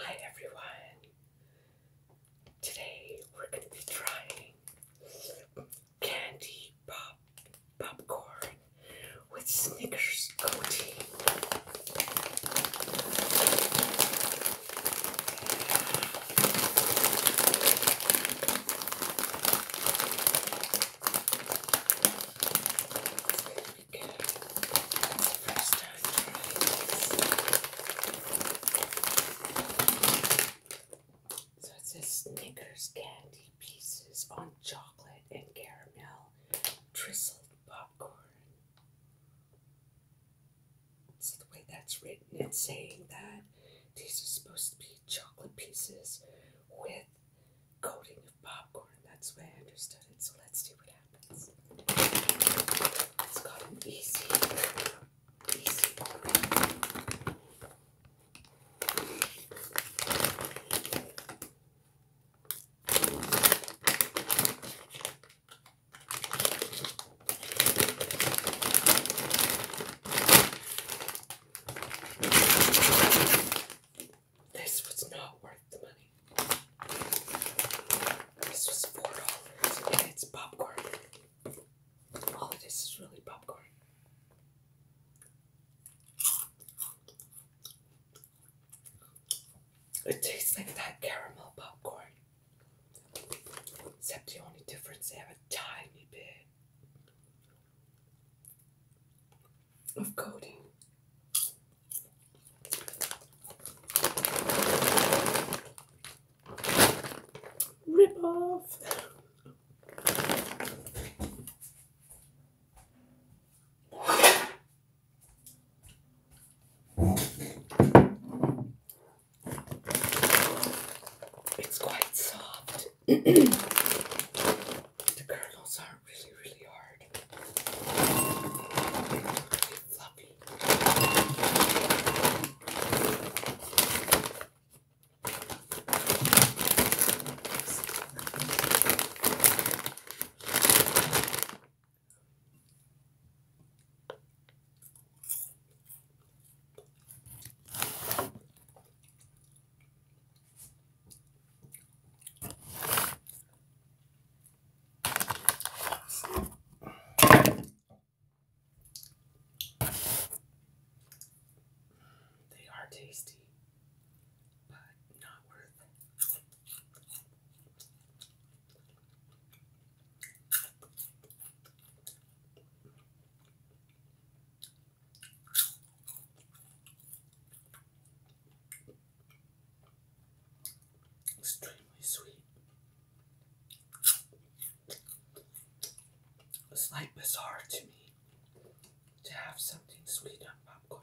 Hi everyone! Today we're going to be candy pop popcorn with Snickers coating. First So it says Snickers candy pieces on chocolate and caramel, drizzled popcorn. So the way that's written, it's saying that these are supposed to be chocolate pieces with coating of popcorn. That's the way I understood it. So let's see what happens. It's got easy, easy open. This was not worth the money. This was four dollars and it's popcorn. All of this is really popcorn. It tastes like that caramel popcorn. Except the only difference they have a tiny bit of coating. Rip off. It's quite soft the kernels are really, really hard. really fluffy. They are tasty, but not worth Extremely sweet. It's like bizarre to me to have something sweet on popcorn.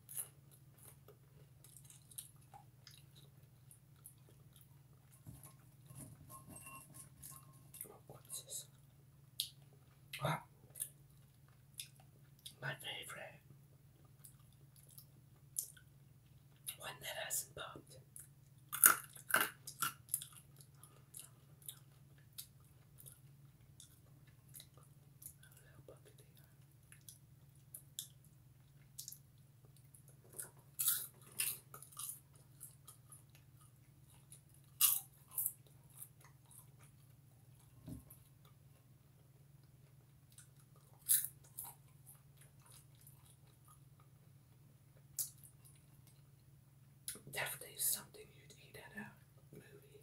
What's this? Ah. my favorite one that hasn't popped. Definitely something you'd eat at a movie.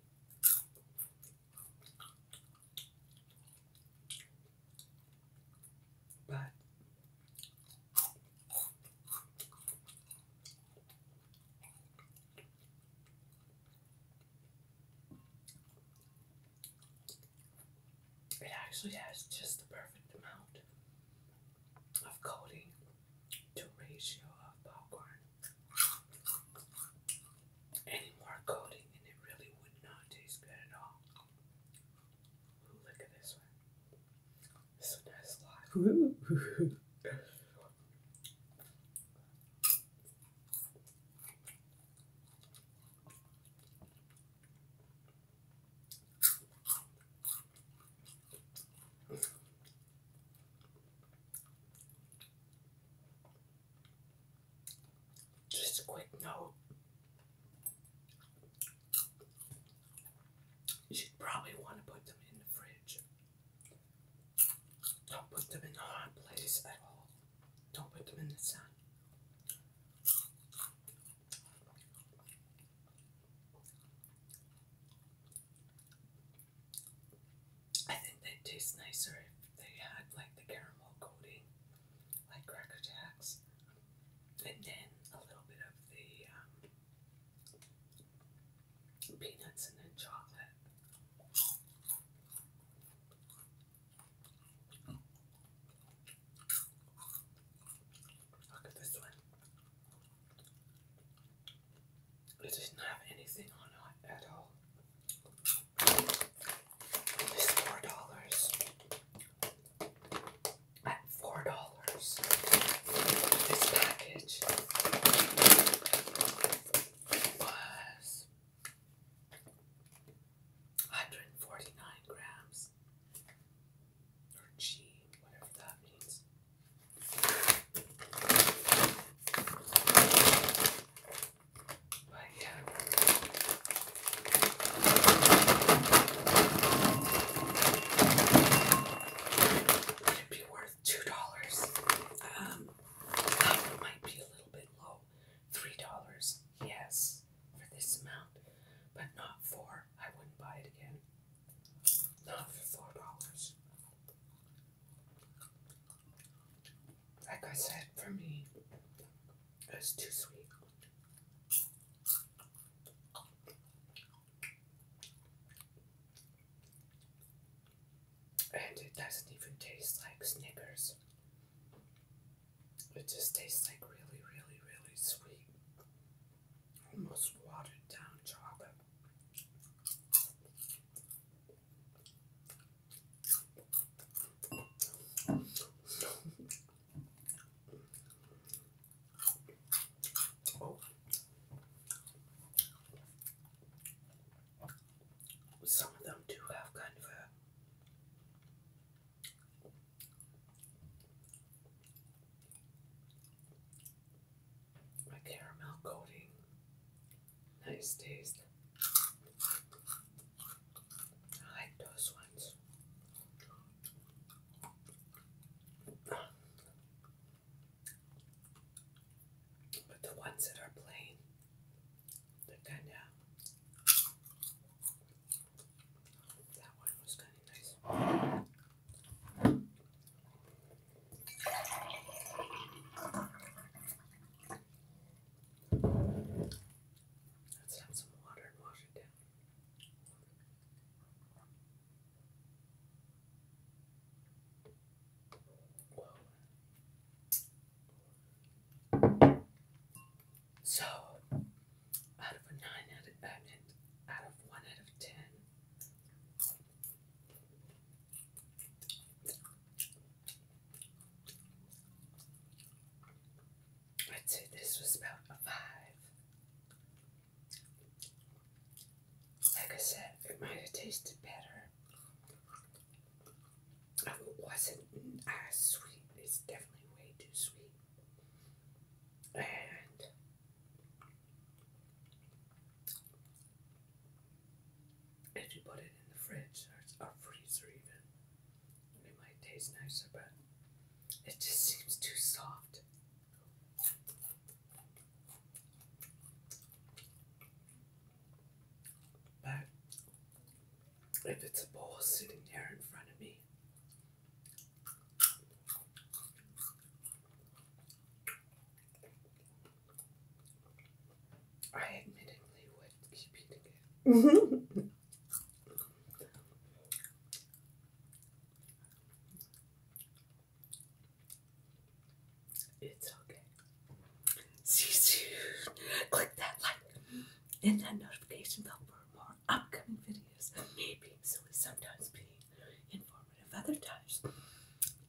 But it actually has just the perfect amount of coating to ratio of popcorn any more coating and it really would not taste good at all. look at this one. This one has a lot. Just a quick note. You should probably want to put them in the fridge. Don't put them in a hot place at all. Don't put them in the sun. I think they taste nicer if they had like the caramel coating, like Cracker Jacks, and then a little bit of the um, peanuts and then chocolate. Look at this one. It doesn't have anything on it at all. It's four dollars. At four dollars, this package was 149 grams or G, whatever that means. It'd be worth two dollars. Um that might be a little bit low. Three dollars, yes, for this amount, but not for. I wouldn't buy it again. Not for four dollars. Like I said, for me, it's too sweet. And it doesn't even taste like Snickers. It just tastes like really, really, really sweet almost watered down chocolate. Some of them do have kind of a my caramel coating. Nice taste. I like those ones. But the ones that are plain, they're kind of that one was kind of nice. Let's add some water and wash it down. Whoa. So, out of a nine, out of, uh, out of one, out of ten, I'd say this was about a five. Like I said, it might have tasted better. It wasn't as sweet. It's definitely way too sweet and if you put it in the fridge or, or freezer even, it might taste nicer, but it just seems too soft. But if it's a bowl sitting there in front of me. I admittedly would keep eating it. it's okay. See you soon. Click that like in that notification bell for more upcoming videos. Being silly sometimes being informative other times.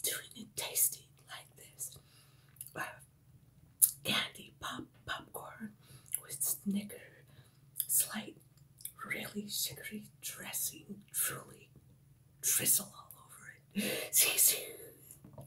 Doing it tasty like this. Uh, candy pop popcorn with snicker slight really sugary dressing truly drizzle all over it. See you soon.